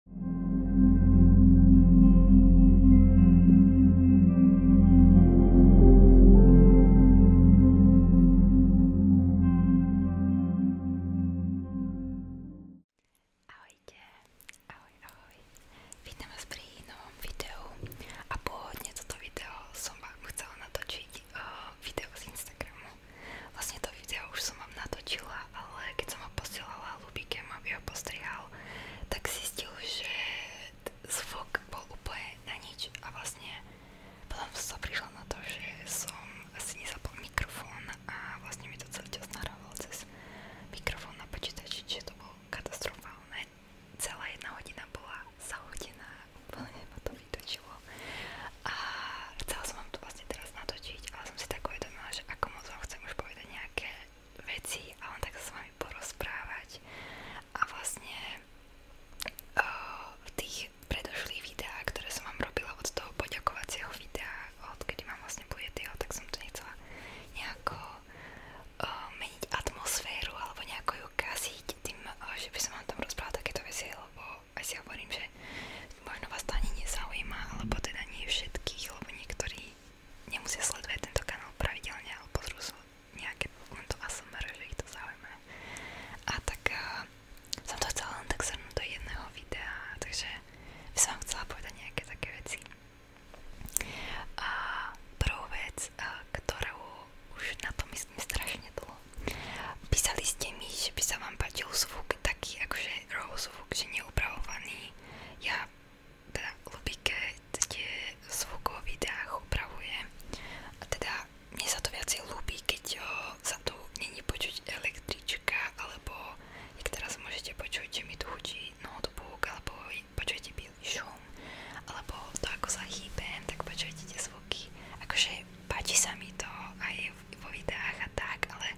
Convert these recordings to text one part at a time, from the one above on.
Ahojte, ahoj, ahoj. Vítam vás pri novom videu a pôvodne toto video som vám chcela natočiť uh, video z Instagramu. Vlastne to video už som vám natočila, ale keď som ho posielala Lubikem, aby ho postrihal, tak zistil, že zvuk bol úplne na nič a vlastne potom som prišla na to, že som asi nezapol mikrofón a vlastne mi to celý čas nahrával cez mikrofón na počítači, čiže to bolo katastrofálne. Celá jedna hodina bola zahodená, úplne ma to vytočilo a chcela som vám to vlastne teraz natočiť, ale som si tak uvedomila, že ako moc vám chcem už povedať povedať nejaké veci a len tak sa s vami porozprávať a vlastne uh, v tých predošlých videách, ktoré som vám robila od toho poďakovacieho videa, odkedy mám vlastne bujetýho, tak som to nechcela nejako uh, meniť atmosféru alebo nejako ju kaziť tým, uh, že by som vám tam rozprávala takéto veci, lebo aj si hovorím, že možno vás to ani nezaujíma, alebo teda nie všetkých, lebo niektorí nemusia tento kanál pravidelne, ale pozrú sú nejaké len to ASMR, že ich to zaujíma. A tak uh, to chcela len tak do jedného videa, takže by som vám chcela povedať nejaké také veci. A prvú vec, a, eh, už na to myslím strašne dlho. Písali ste mi, že by sa vám páčil zvuk taký akože raw zvuk, je upravovaný. Ja teda Lubiket tie zvuk o videách upravuje. A teda mne sa to viacej ľúbi, keď sa tu není počuť električka, alebo jak teraz môžete počuť, že mi tu chutí notebook, alebo počujete bielý šum, alebo to ako sa hýbem, tak počujete tie zvuky. Akože páči sa mi to a je aj videách a tak, ale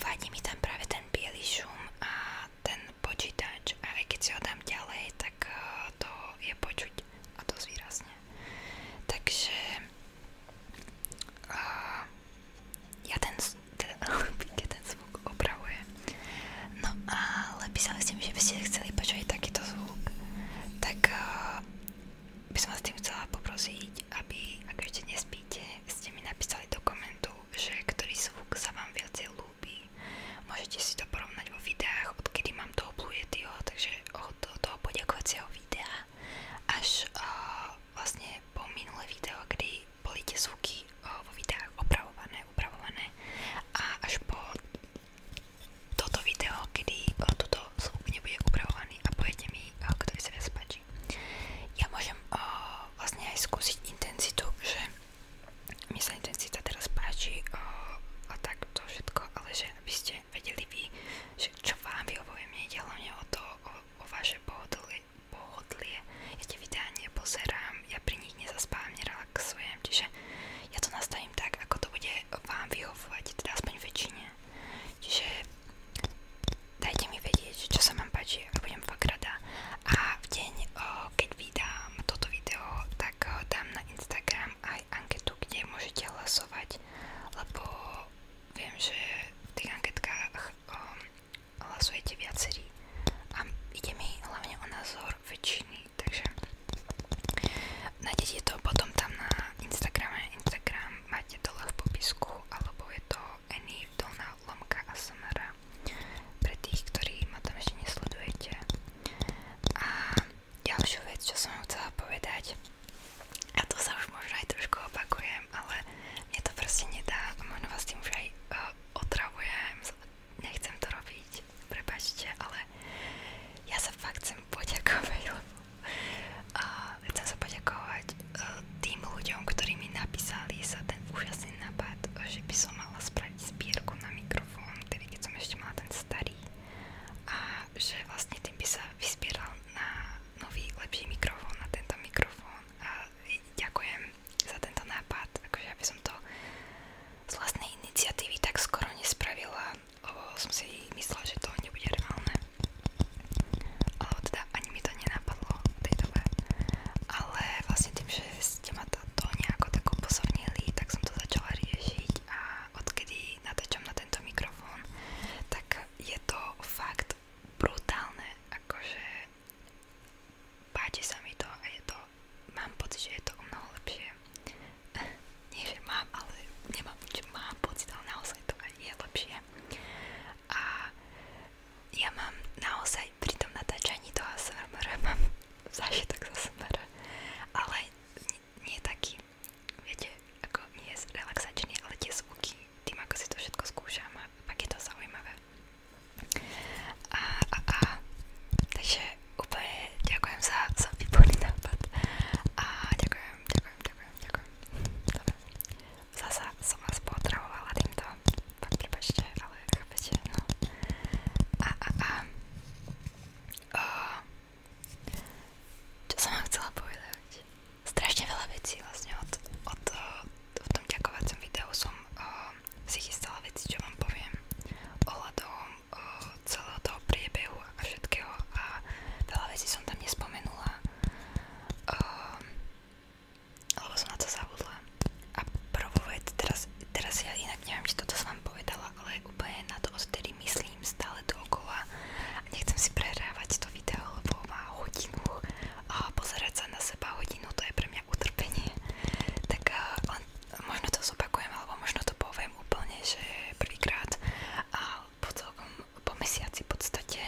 vadí mi tam ten biely šum a ten počítač a aj si ho dám ďalej, tak eh, to je počuť a dosť výrazne. Takže uh, ten, zvuk opravujem. No ale písali ste mi, že by ste chceli počuť takýto zvuk, tak uh, by som chcela poprosiť, poprosiť, aby, ak ešte nespíte, ste mi napísali do komentu, že ktorý zvuk sa vám viacej ľúbi. Môžete si to porovnať vo videách, odkedy mám toho Blue Yetiho, takže od toho poďakovacieho videa až uh, vlastne po minulé video, kedy boli tie zvuky uh, vo videách opravované, upravované a až po toto video, kedy uh, eh, toto zvuk nebude upravovaný a poviete mi, uh, ktorý sa viac páči. Ja môžem o, eh, vlastne aj skúsiť intenzitu, že mi sa intenzita teraz páči o, eh, a tak to všetko, ale že aby ste vedeli vy, že čo vám vyhovuje, mne ide hlavne o to, o, o vaše pohodlie, pohodlie. Ja tie videá nepozerám, ja pri nich nezaspávam, nerelaxujem, čiže ja to nastavím tak, ako to bude vám vyhovovať, teda aspoň väčšine. Čiže dajte mi vedieť, čo sa vám páči a budem fakt rada. A v deň, keď vydám toto video, tak dám na Instagram aj anketu, kde môžete hlasovať, lebo viem, že v tých anketkách um, hlasujete viacerí a ide mi hlavne o názor väčšiny, takže nájdete to potom tam na Instagrame, Instagram máte dole v popisku, alebo je to Annie Vdolná lomka a Samara pre tých, ktorí ma tam ešte nesledujete. A ďalšiu vec, čo som chcela povedať, a to sa už možno aj trošku opakujem, ale mne to proste nedá, možno vás tým už aj uh, otravujem, nechcem to robiť, prepačte, ale ja sa fakt chcem poďakovať, lebo a chcem sa e, tým ľuďom, ktorí mi napísali sa ten úžasný nápad, že by som mala spraviť zbierku na mikrofón, tedy keď som ešte ten starý a že vlastne tým by sa vyzbieral na nový, lepší mikrofón, na tento mikrofón a ďakujem za tento nápad, akože aby som to z vlastnej tak skoro nespravila, lebo som si myslela, že to nebude reálne alebo teda ani mi to nenapadlo v tej dobe ale vlastne tým, že ste ma to nejako tak upozornili, tak som to začala riešiť a odkedy natáčam na tento mikrofón, tak je to fakt brutálne, akože páči sa mi to a je to, mám pocit, že je to o mnoho lepšie. Nie, že mám, ale nemám, že mám pocit, ale naozaj to aj je lepšie funguje. A ja mám naozaj pri tom natáčaní toho ASMR mám zážitok z ASMR, ale nie, nie taký, viete, ako nie je relaxačný, ale tie zvuky, tým ako si to všetko skúšam a pak je to zaujímavé. A, a, a, takže úplne ďakujem za, za výborný nápad a ďakujem, ďakujem, ďakujem, ďakujem. Dobre. Zasa som vás potravovala týmto, pak prepačte, ale chápete, no. A, a, a. O, čo som vám chcela povedať? Strašne veľa vecí vlastne od, od, od tom ďakovacom videu som o, si chystala veci, čo vám poviem ohľadom o, celého toho priebehu a všetkého a veľa vecí som tam nespomenula uh, ehm, lebo som na to zabudla a prvové, teraz, teraz ja inak neviem, či toto som vám povedala, ale úplne na to odtedy myslím stále dookola a nechcem si prehrávať to video, lebo má hodinu a pozerať sa na seba hodinu, to je pre mňa utrpenie tak uh, eh, len, možno to zopakujem alebo možno to poviem úplne, že prvýkrát a po celkom po mesiaci v podstate,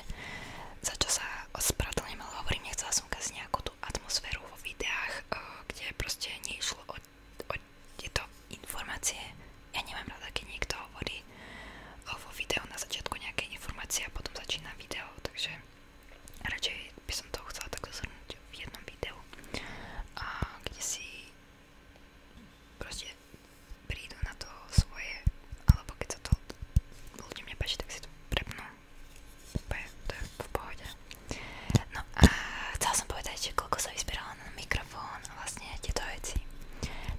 za čo sa spravedlňujem, ale hovorím, nechcela som ukázať nejakú tú atmosféru vo videách, eh, kde proste neišlo o, o tieto informácie. Ja nemám rada, keď niekto hovorí eh, vo videu na začiatku nejaké informácie a potom začína video, takže radšej by som to chcela takto zhrnúť v jednom videu, a kde si proste prídu na to svoje, alebo keď sa to ľuďom nepáči, tak si to prepnú. Úplne, to je v pohode. No a chcela som povedať, že koľko sa vyzbierala na mikrofón a vlastne tieto veci.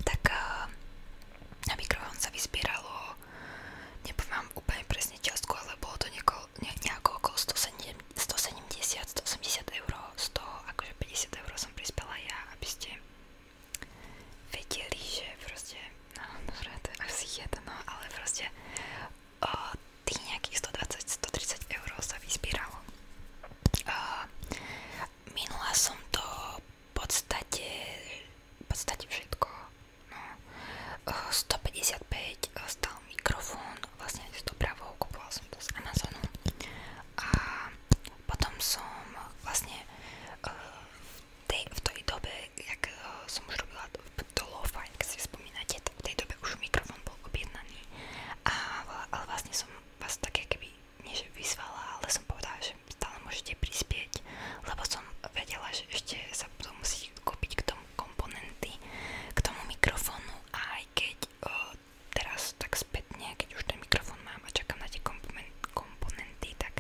Tak eh, na mikrofón sa vyzbieralo, nepoviem úplne presne čiastku, ale bolo to nieko, ne, nejako okolo 170, 180 eur, 100, akože 50 eur som prispela ja, aby ste vedeli, že proste, no dobre, to je asi jedno, ale proste o, tých nejakých 120-130 eur sa vyzbíralo. Minula som to v podstate, v podstate všetko. No. O, 155 stal mikrofón, vlastne s dopravou, kupoval som to z Amazonu a potom som vlastne uh, v, tej, v tej dobe, jak uh, som už robila to lo-fi, ak si spomínate, tak v tej dobe už mikrofón bol objednaný. A, ale vlastne som vás také keby, nie že vyzvala, ale som povedala, že stále môžete prispieť, lebo som vedela, že ešte sa budú musieť kúpiť k tomu komponenty, k tomu mikrofónu a aj keď o, eh, teraz tak spätne, keď už ten mikrofón tom mám a čakám na tie komponenty, tak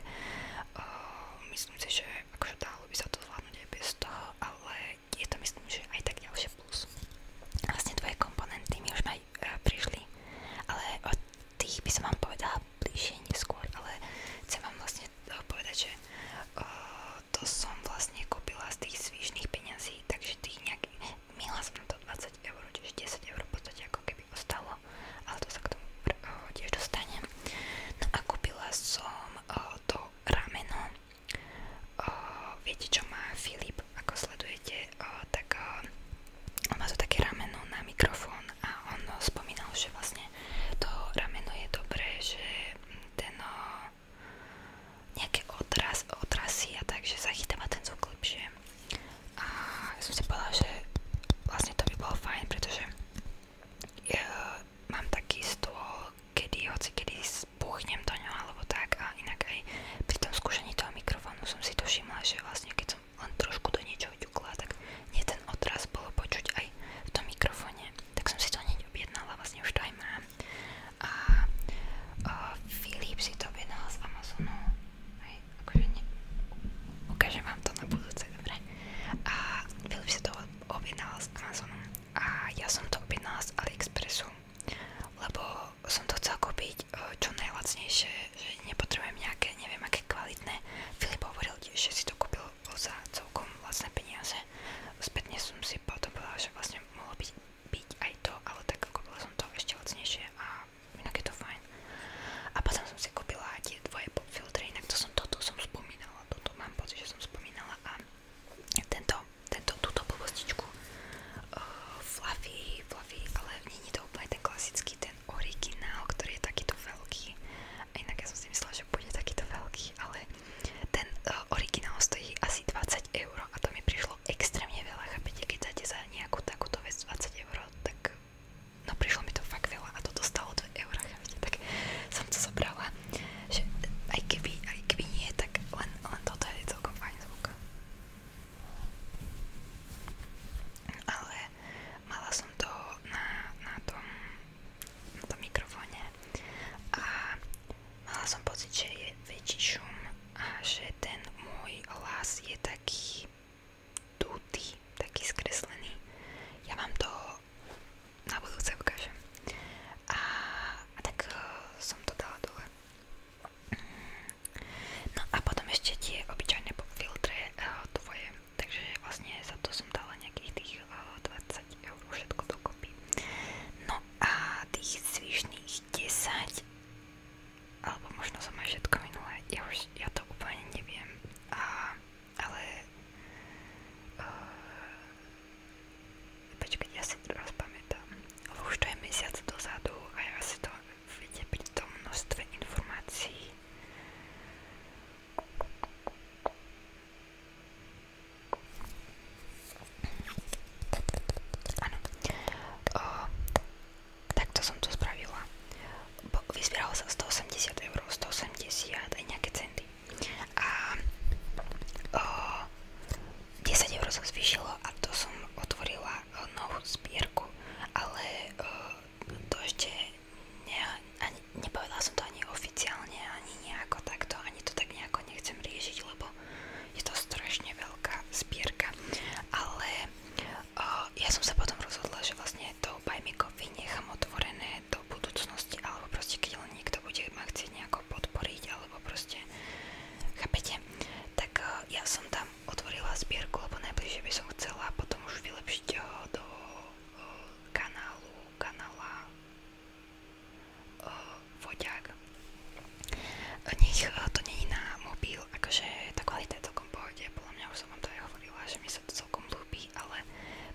uh, myslím si, že akože dalo by sa to zvládnuť aj bez toho, ale je to myslím, že aj tak ďalšie plus. Vlastne tvoje komponenty mi už aj uh, eh, prišli, ale od tých by som vám povedala bližšie neskôr, ale chcem vám vlastne uh, povedať, že uh, to som vlastne kúpila z tých svižných peňazí, takže tých nejak, minula som na to 20 eur, čiže 10 eur v podstate ako keby ostalo ale to sa k tomu uh, tiež No a kúpila som to rameno. Uh, viete, čo má Filip, ako sledujete, tak má to také rameno na mikrofón a on uh, že vlastne to rameno je dobré, že ten uh, nejaké odras, a tak, že zachytáva ten zvuk lepšie. A ja som si povedala, že vlastne to by bolo fajn, pretože je, mám taký stôl, kedy hoci kedy spuchnem do ňa alebo tak a inak aj pri tom skúšaní toho mikrofónu som si to všimla, že vlastne keď som len trošku do niečoho ťukla, tak nie ten odraz bolo počuť aj v tom mikrofóne, tak som si to hneď objednala, vlastne už to aj mám. A, a Filip si to objednal z Amazonu Hej, akože ne... Ukážem vám to na budúce, dobre? A Filip si to objednal z Amazonu a ja som to objednala z AliExpressu, lebo som to chcel kúpiť eh, čo najlacnejšie, že nepotrebujem nejaké, neviem aké kvalitné. Filip hovoril, že si to kúpil za celkom vlastné peniaze. Spätne som si potom povedala, že vlastne mohlo byť, byť aj to, ale tak kúpila som to ešte lacnejšie a inak je to fajn. A potom som si kúpila tie dvoje popfiltre, inak to som toto som spomínala, toto mám pocit, že som spomínala a tento, tento, túto blbostičku uh, Fluffy, Fluffy, ale nie je to úplne ten klasický, ten originál, ktorý je takýto veľký. A inak ja som si myslela, že bude takýto veľký, ale ten uh, originál stojí asi 20 eur a to mi prišlo extrémne veľa, chápete, keď dáte za nejakú takúto vec 20 eur, tak no prišlo mi to fakt veľa a to dostalo 2 eurá, tak som to zobrala, že aj keby, aj keby nie, tak len, len toto je celkom fajn zvuk. Ale mala som to na, na, tom, na tom mikrofóne a mala som pocit, že je väčší šum a že ten môj hlas je taký tutý, taký skreslený. Ja vám to na budúce ukážem. A, a tak uh, som to dala dole. No a potom ešte tie obyčajné filtre uh, tvoje. Takže vlastne za to som dala nejakých tých uh, e, 20 eur všetko dokopy. No a tých zvyšných 10 alebo možno som aj všetko minulé, ja už ja to úplne neviem, a, ale uh, eh, počkať, ja si to rozpamätám, lebo už to je mesiac dozadu a ja si to viete pri tom množstve informácií Áno, eh, takto som to spravila. Vyzbieralo sa 180 eur, 180 aj nejaké centy. A o, 10 eur sa zvýšilo a to som otvorila o, novú zbierku, ale o, to ešte ne, ani, nepovedala som to ani oficiálne, ani nejako takto, ani to tak nejako nechcem riešiť, lebo je to strašne veľká zbierka, ale ja som sa potom rozhodla, že vlastne to Buy Me Coffee nechám otvorené do budúcnosti, alebo proste keď len niekto bude ma chcieť nejako podporiť, alebo proste, chápete? Tak eh, ja som tam otvorila zbierku, lebo najbližšie by som chcela potom už vylepšiť eh, do eh, kanálu, kanála Voďák nech e, to není na mobil, akože tá kvalita je celkom pohode, podľa mňa už som vám to aj hovorila, že mi sa to celkom ľúbi, ale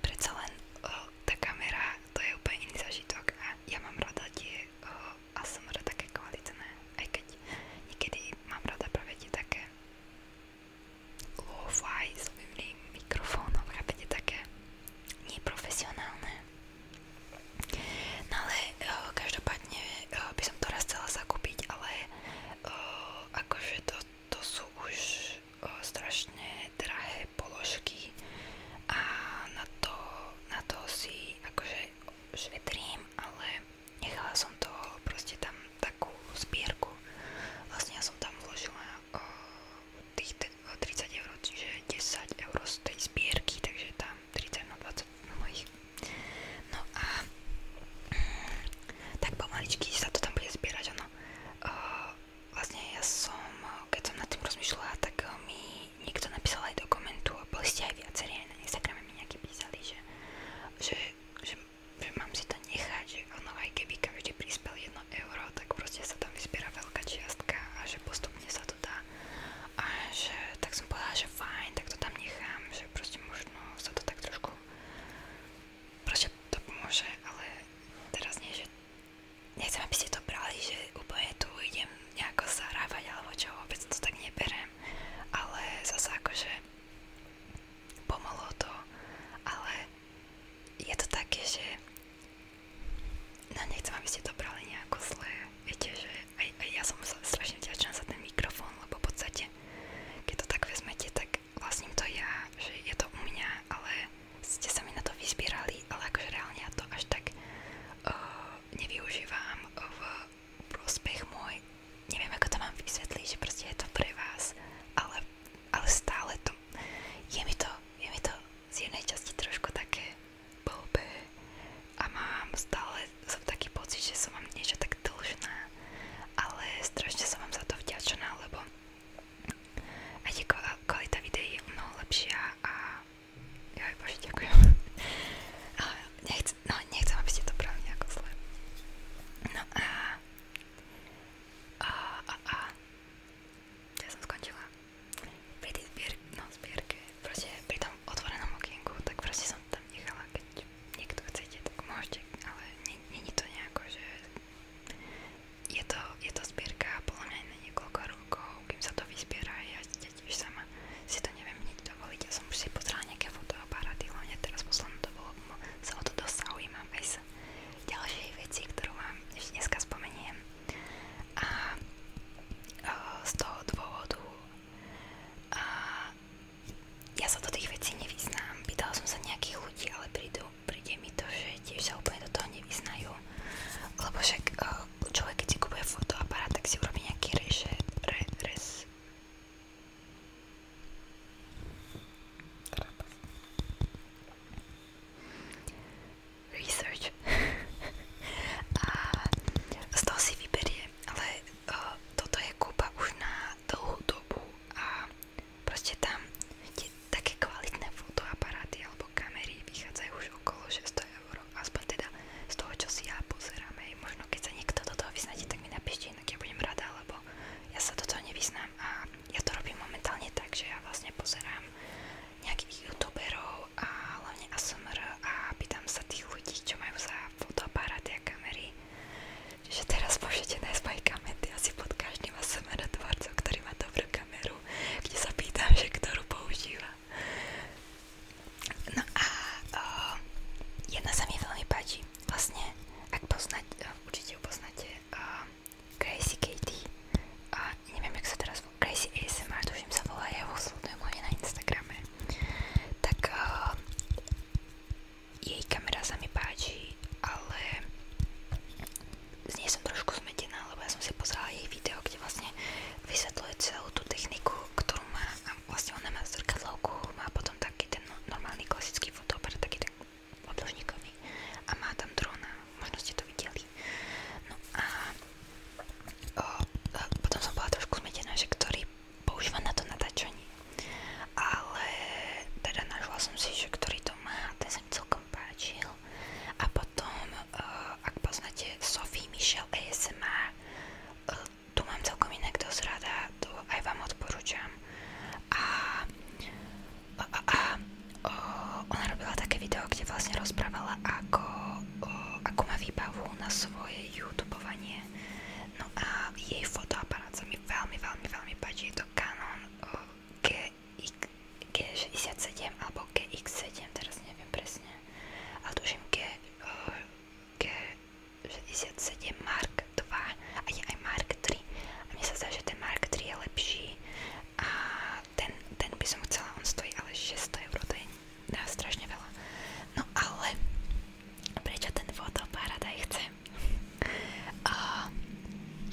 predsa len uh, tá kamera, to je úplne iný zažitok a ja mám rada tie uh, e, ASMR také kvalitné, aj keď niekedy mám rada práve tie také lo-fi s novým mikrofónom, chápete, také neprofesionálne. No ale uh, každopádne Každopádne eh, by som to raz chcela ale eh, akože to, to už uh, drahé položky a na to, si akože ale nechala som to proste tam takú zbierku. Vlastne ja som tam vložila uh, 30 eur, čiže 10 eur z tej zbierky, takže tam. 30 na 20 mojich. No a mm, tak pomaličky sa to tam bude zbierať, ono. Uh, vlastne ja som, keď som nad tým rozmýšľala, tak mi niekto napísal aj do komentu a boli ste aj viacerí, aj na Instagrame mi nejakí písali, že, že, že, že mám si to nechať, že ono aj keby každý prispel 1 euro, tak proste sa tam vyzbiera veľká čiastka a že postupne sa to dá. A že, tak som povedala, že fajn, tak to tam nechám, že proste možno to tak trošku proste to pomôže, ale teraz nie, že aby ste to brali, že úplne tu idem nejako zahrávať alebo čo, vôbec to tak neberem, ale zase akože pomohlo to, ale je to také, že no nechcem, aby ste to brali nejako zlé viete, že aj, aj ja som strašne vďačná za ten mikrofón, lebo v podstate, keď to tak vezmete, tak vlastním to ja, že je to u mňa, ale ste sa mi na to vyzbierali, ale akože reálne ja to až tak uh, nevyužívam v prospech môj, neviem ako to mám vysvetliť, že proste je to pre vás, ale, ale stále to, je mi to, je mi to z jednej časti trošku také blbé, a mám stále som taký pocit, že som vám niečo tak dlžná, ale strašne som vám za to vďačná, lebo aj tie kvalita videí je mnoho lepšia a joj bože, ďakujem. Ale nechcem, no, nechcem, aby ste to brali nejako zle. No a a, a, a ja som skončila pri tej zbier, no, zbierke, proste pri tom tom otvorenom okienku, tak proste som tam nechala, keď niekto chcete, tak môžete, ale není to nejako, že je to, je to zbierka podľa mňa na niekoľko rokov, kým sa to vyzbiera, ja, ja tiež sama si to neviem nič dovoliť, ja som už si pozrela nejaké fotoaparáty, hlavne teraz posledné to bolo, sa o to dosť zaujímam aj sa ďalšej veci, ktorú vám ešte dneska spomeniem a o, e, z toho dôvodu a ja sa do tých vecí nevyznám. Pýtala som sa nejakých ľudí, ale prídu, príde mi to, že tiež sa úplne do toho nevyznajú. Lebo však e, človek, keď si kúpuje fotoaparát, tak si urobí nejaký reše, re, res. Research. A z toho si vyberie nevie, ale uh, toto je kúpa už na dlhú dobu a proste tam tie také kvalitné fotoaparáty alebo kamery vychádzajú už okolo 600 eur, aspoň teda z toho, čo si ja pozerám. Hej. Možno keď sa niekto do toho vyznáte, tak mi napíšte, inak ja budem rada, lebo ja sa do toho nevyznám a ja to robím momentálne tak, že ja vlastne pozerám nejakých youtuberov a hlavne ASMR a pýtam sa tých ľudí, čo majú za fotoaparát a kamery. Čiže teraz môžete nájsť moje kamenty asi pod každým ASMR tvorcom, ktorý má dobrú kameru, kde sa pýtam, že ktorú používa. No a o, jedna sa mi veľmi páči. Vlastne, ak poznáte, určite ju poznáte, o, Crazy Katie, a neviem, jak sa teraz volá, Crazy ASMR, to už tuším sa volá, ja ho sledujem hlavne na Instagrame, tak uh, jej kamera sa mi páči, ale z nej som trošku zmetená, lebo ja som si pozerala jej video, kde vlastne vysvetľuje celú tú techniku, ktorú má a vlastne ona má zrkadlovku, má potom taký ten normálny klasický fotoper, taký ten obložníkový a má tam drona, možno ste to videli. No a o, eh, o, eh, potom som bola trošku zmetená, že ktorý používa na to natáčanie. Ale teda našla som si, že ktorý to má, ten sa mi celkom A potom, eh, ak poznáte Sophie Michel ASMR, eh, tu mám celkom inak dosť rada, to aj vám odporúčam. A, eh, ona robila také video, kde vlastne rozprávala, ako, ako má výbavu na svoje youtubovanie. No a jej fotoaparát sa mi veľmi, veľmi, veľmi páči. Je to Canon G67 alebo GX7, teraz neviem presne. Ale tuším G, G67 Mark 2 a je aj Mark 3. A mne sa zdá, že ten Mark 3 je lepší a ten, ten by som chcela, on stojí ale 600 eur, to je no, strašne veľa. No ale prečo ten fotoparadaj chcem? A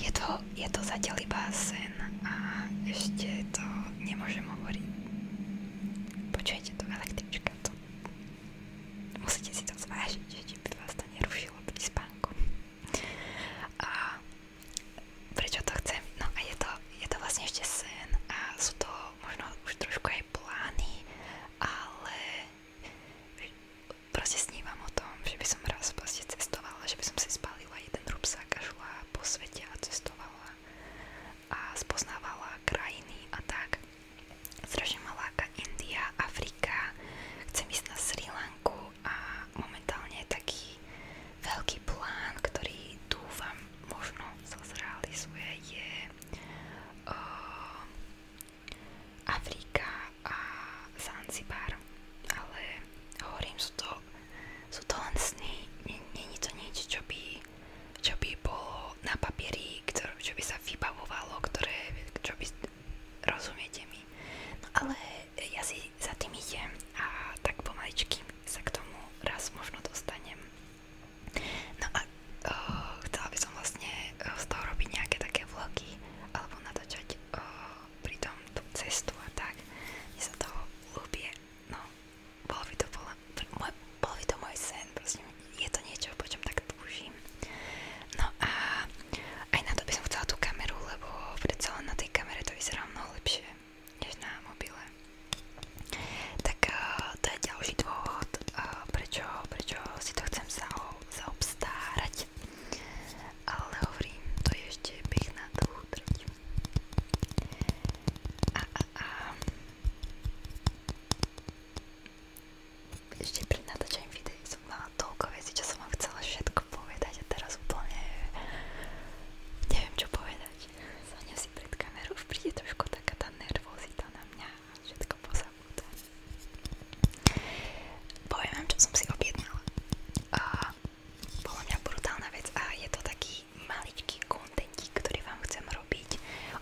je to, je to zatiaľ iba sen a ešte to nemôžem hovoriť. Počujete to električka, to musíte si to zvážiť, že či by vás to nerušilo pri spánku. A prečo to chcem? No a je to je to vlastne ešte sen a sú to možno už trošku aj plány, ale proste snívam o tom, že by som raz proste cestovala, že by som si spálila jeden rúbsak a šla po svete a cestovala a spoznávala krajiny a tak. Strašne ma láka India, Afrika, chcem ísť na Sri Lanku a momentálne je taký veľký plán, ktorý dúfam, možno sa zrealizuje, je uh, Afrika a Zanzibar, ale hovorím, sú to, sú to len sny, není to nič, čo by, čo by bolo na papieri, ktoré, čo by sa vybavovalo, ktoré, čo by, rozumiete mi. No ale ja si za tým idem a tak pomaličky sa k tomu raz možno dostanem. No a uh, by som vlastne z toho robiť nejaké také vlogy alebo natočať uh, pri cestu a tak. Mne sa toho ľúbie. No, bol by to, bol, sen, proste je to niečo, po čom tak túžim. No a aj na to by som chcela kameru, lebo predsa len na tej kamere to vyzerá lepšie než na mobile. Tak uh, to je ďalší dôvod, uh, prečo, prečo si to chcem zao, zaobstárať. Ale hovorím, to je ešte beh na dlhú trať. A, a, a. Ešte pred natáčaním videí som mala toľko vecí, čo som vám chcela všetko povedať a teraz úplne neviem čo povedať povedať. si pred kamerou, trošku taká tá nervozita na mňa a všetko pozabúda. si objednala. A bola mňa brutálna a je to taký maličký kontentík, ktorý vám chcem robiť.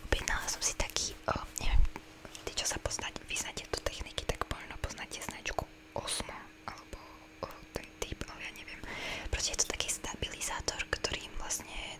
Objednala som si taký, o, neviem, tí čo techniky, tak možno poznáte značku Osmo alebo ten typ, ale ja neviem. Proste je to taký stabilizátor, ktorým vlastne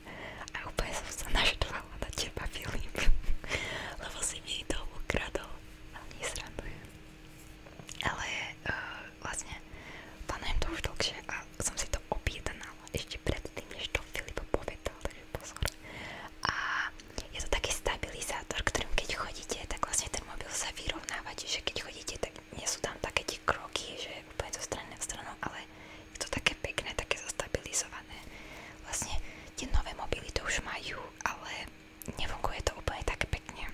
a úplne som sa naštvala na teba, Filip. Lebo si mi to ukradol. Ale nesrandujem. Ale uh, vlastne plánujem to už dlhšie a som si to objednala ešte predtým, než to Filip povedal, takže pozor. A je to taký stabilizátor, ktorým keď chodíte, tak vlastne ten mobil sa vyrovnáva, čiže keď chodíte, tak nie sú tam také tie kroky, že úplne zo strany na stranu, ale je to také pekné, také zastabilizované. Vlastne tie nové mobily to už majú, ale nefunguje to úplne tak pekne.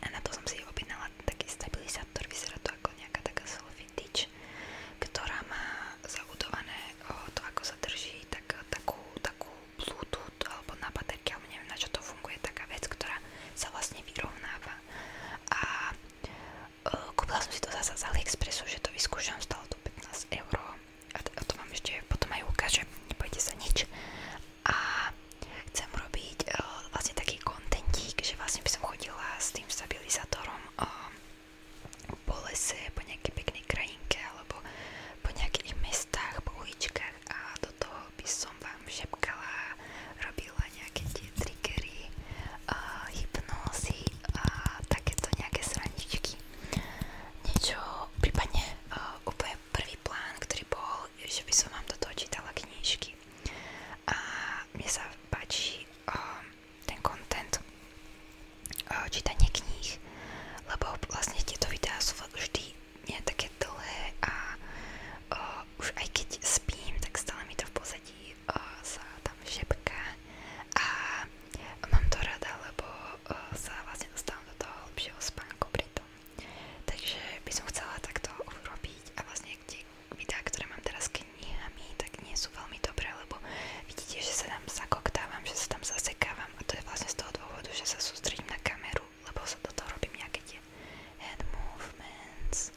A na to som si objednala taký stabilizátor, vyzerá to ako nejaká taká selfie dič, ktorá má zabudované to, ako sa drží, tak, takú, takú bluetooth alebo na baterky, alebo neviem na čo to funguje, taká vec, ktorá sa vlastne vyrovnáva. A Eh, kúpila som si to zase z AliExpressu, že to vyskúšam, stalo to 15 eur a to vám ešte potom aj ukážem, nebojte sa nič. A chcem robiť uh, vlastne taký kontentík, že vlastne by som chodila s tým stabilizátorom uh, po lese, po nejakej peknej krajinke alebo po nejakých mestách, po uličkách a do toho by som vám šepkala, robila nejaké tie triggery, uh, hypnózy a takéto nejaké srandičky. Niečo, prípadne uh, úplne prvý plán, ktorý bol, že by som vám do toho čítala knižky. A mne sa páči uh, ten content uh, čítanie kníh, lebo vlastne tieto videá sú vždy nie také dlhé a uh, už aj keď spím, tak stále mi to v podstate ľudí o, tam šepká a mám to rada, lebo o, e, sa vlastne do toho lepšieho spánku pri tom. Takže by som chcela takto urobiť a vlastne tie videá, ktoré mám teraz knihami, tak nie sú dobré, lebo vidíte, že sa tam zakoktávam, že sa tam zasekávam a to je vlastne z toho dôvodu, že sa sústredím na kameru, lebo sa do toho robím nejaké head movements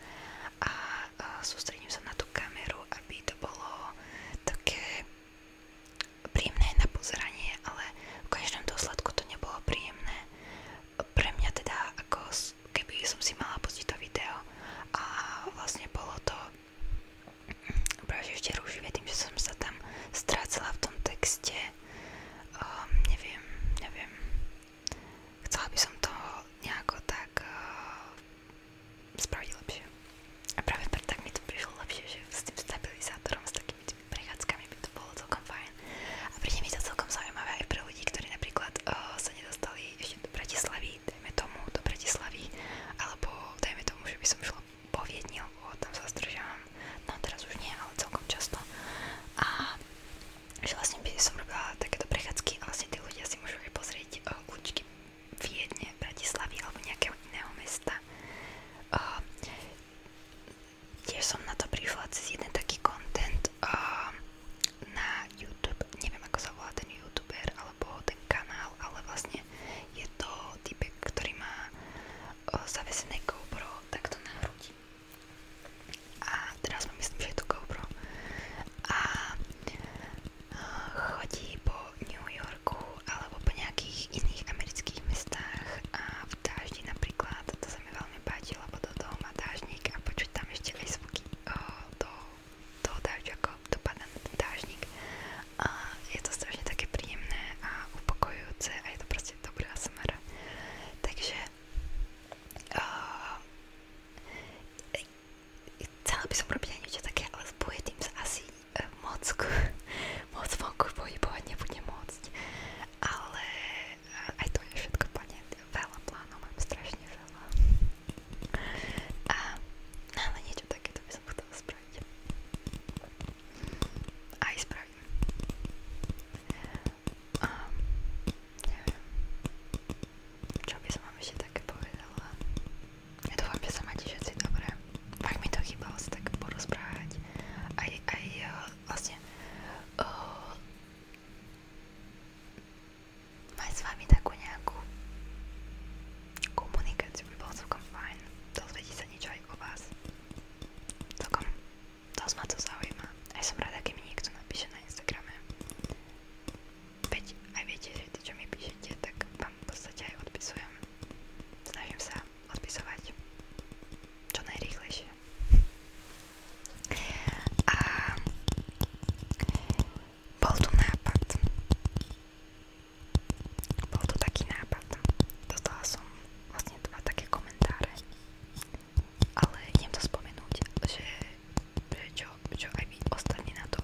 a, a e, sústredím sa na tú kameru, aby to bolo také príjemné na pozeranie, ale v každom dôsledku to nebolo príjemné. Pre mňa teda, ako keby som si mala pustiť to video a vlastne bolo to mm, práve ešte rúživé tým, že som sa tam strácala v tom texte. Um, neviem, neviem. Chcela by som to nejako tak uh, spraviť lepšie. A práve preto tak mi to prišlo lepšie, že s tým stabilizátorom, s takými tými prechádzkami by to bolo celkom fajn. A príde mi to celkom zaujímavé aj pre ľudí, ktorí napríklad uh, sa nedostali ešte do Bratislavy, dajme tomu do Bratislavy, alebo dajme tomu, že by som šla po Viedni, lebo tam sa zdržávam, no teraz už nie, ale celkom často. A že vlastne by som robila takéto prechádzky a vlastne tí ľudia si môžu aj pozrieť eh, kľúčky Viedne, Bratislavy alebo nejakého iného mesta. Uh, tiež som na to prišla cez jeden taký content uh, na YouTube, neviem ako sa volá ten youtuber alebo ten kanál, ale vlastne je to typek, ktorý má uh, zavesené GoPro takto na hrudi. A teraz mám myslím, že je to GoPro. A chodí po New Yorku alebo po nejakých iných amerických mestách a v dáždi napríklad, to sa mi veľmi páči, lebo do toho má dážnik a počuť tam ešte aj zvuky do toho dážďu, ako dopadá na ten dážnik a je to strašne také príjemné a upokojujúce a je to proste dobrá smara. Takže uh, chcela by som robiť aj niečo také, ale bude tým sa asi e, moc, moc vonku pohybovať nebudem môcť. Ale e, aj to je všetko plne. Veľa plánov mám, strašne veľa. A, no, ale niečo takéto by som chcela spraviť. Aj spravím. Um, neviem. Čo by som vám ešte také povedala? Ja dúfam, že sa máte všetci dobre. Fakt mi to chýbalo sa tak porozprávať. Aj, aj eh, vlastne uh, mať s vami takú nejakú komunikáciu by bolo celkom fajn. Dozvedieť sa niečo aj o vás. Celkom dosť ma to zaujíma. Aj som rada, keď mi niekto napíše na Instagrame. Veď aj viete, že ty, čo mi píšete, tak vám v podstate aj odpisujem. Snažím sa odpisovať čo najrýchlejšie. A bol tu nápad. Bol tu taký nápad. Dostala som vlastne dva také komentáre. Ale idem to spomenúť, že čo, čo aj vy ostatní na to.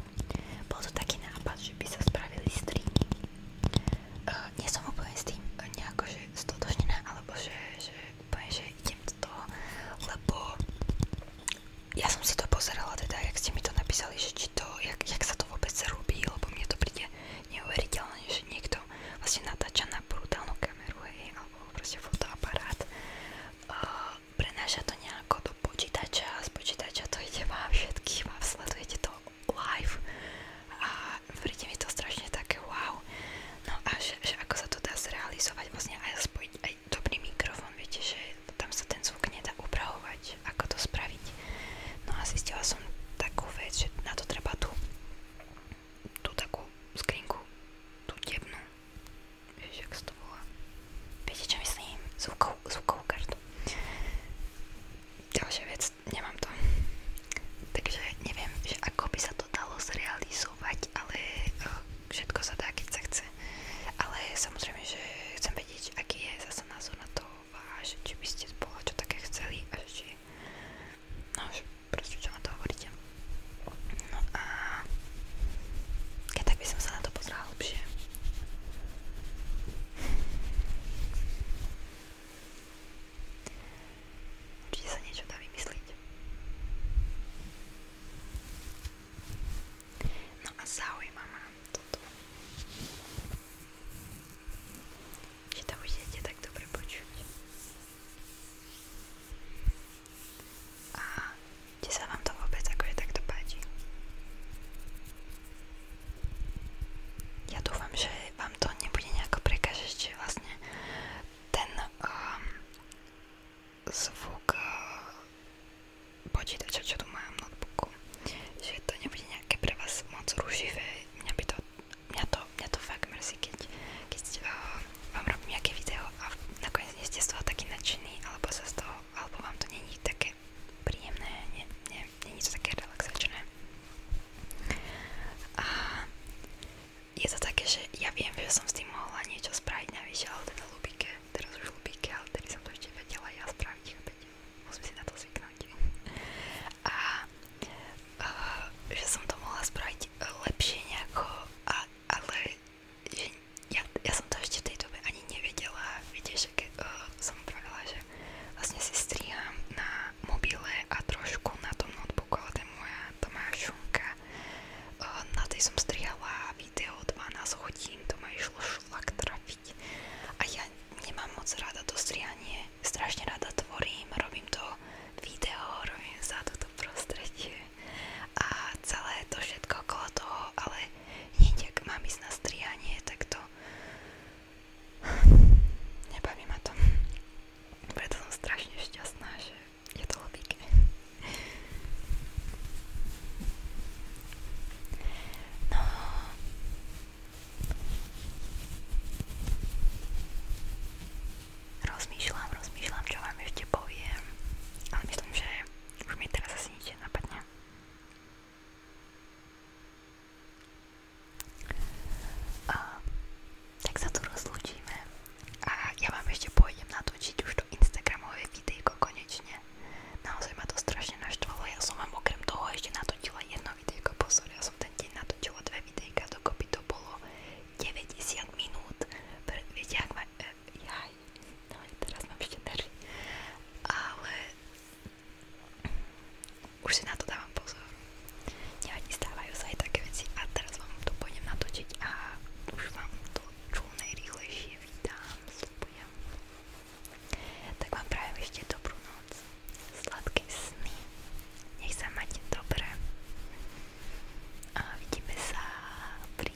Bol to taký nápad, že by sa spravili streamy. Uh, nie som úplne s tým e, nejako, že stotožnená, alebo že, že úplne, že idem do toho, lebo ja som si to pozerala teda, jak ste mi to napísali, že či to, jak, jak sa to vôbec robí, lebo mne to príde neuveriteľné, že niekto vlastne natáča na brutálnu kameru, hej, alebo proste fotoaparát. Uh, prenáša to nejako do počítača, z počítača to ide vám všetkým a sledujete to live a príde mi to strašne také wow. No a že, že ako sa to dá zrealizovať vlastne aj spojiť aj dobrý mikrofón, viete, že tam sa ten zvuk nedá upravovať, ako to spraviť. No a zistila som takú vec, že na to treba tú, tú takú skrinku, tú tebnú, Víš, jak to volá? Viete, čo myslím? Zvukov, zvukovú kartu. Ďalšia vec, nemám to. Takže neviem, že ako by sa to dalo zrealizovať, ale oh, všetko sa dá, keď sa chce. Ale samozrejme, že chcem vedieť, aký je zase názor na to a že či by ste bola čo také chceli a že či... No, že proste čo na to hovoríte. No a... Keď tak by som sa na to pozrela lepšie. Určite sa niečo dá vymyslieť. No a zaujíma ma toto. Že to budete tak dobre počuť. A kde sa vám to vôbec akože takto páči? Ja dúfam, že vám to nebude nejako prekažeť, že vlastne ten um, zvuk uh, tu mám notebooku, že to nebude nejaké pre vás moc rušivé. Mňa, keď, uh, vám robím nejaké video a nakoniec nie ste z toho taký nadšený, alebo sa z toho alebo vám to není také príjemné, nie, nie, není to také relaxačné. A je to také, že ja viem, že som s tým mohla niečo spraviť navyše, ale teda ľubíke, teraz už ľubíke, ale tedy som to ešte vedela ja spraviť, chápete? Musím si na to zvyknúť. A, a že som to mohla spraviť lepšie nejako, a, ale že ja, ja som to ešte v tej dobe ani nevedela, viete, že keď uh, eh, som pravila, že vlastne si striham na mobile a trošku na tom notebooku, ale to je moja, to moja šunka. Uh, na tej som strihala video 12 hodín, to ma išlo šlak trafiť. A ja nemám moc rada to strihanie, strašne rada tvorím, robím to video, robím sa toto prostredie a celé to všetko okolo toho, ale hneď ak mám ísť na strihanie, tak to nebaví ma to. Preto som strašne šťastná, že je to pekné. No. Rozmýšľam, rozmýšľam, čo vám ešte poviem, ale myslím, že už mi teraz asi nič nenapadne. Uh, tak sa tu rozlúčime a ja vám ešte pôjdem natočiť už to Instagramové videjko konečne. Naozaj ma to strašne naštvalo, ja som vám okrem toho ešte natočila jedno videjko, pozor, ja som ten deň natočila dve videjka, dokopy to bolo 90 minút, viete, ak ma, e, jaj, No aj teraz mám ešte nervy. Ale už si na to dávam pozor. Nevadí, stávajú sa aj také veci a teraz vám to pôjdem natočiť a už vám to čo najrýchlejšie vydám, slúbujem. Tak vám prajem ešte dobrú noc, sladké sny, nech sa máte dobre a vidíme sa pri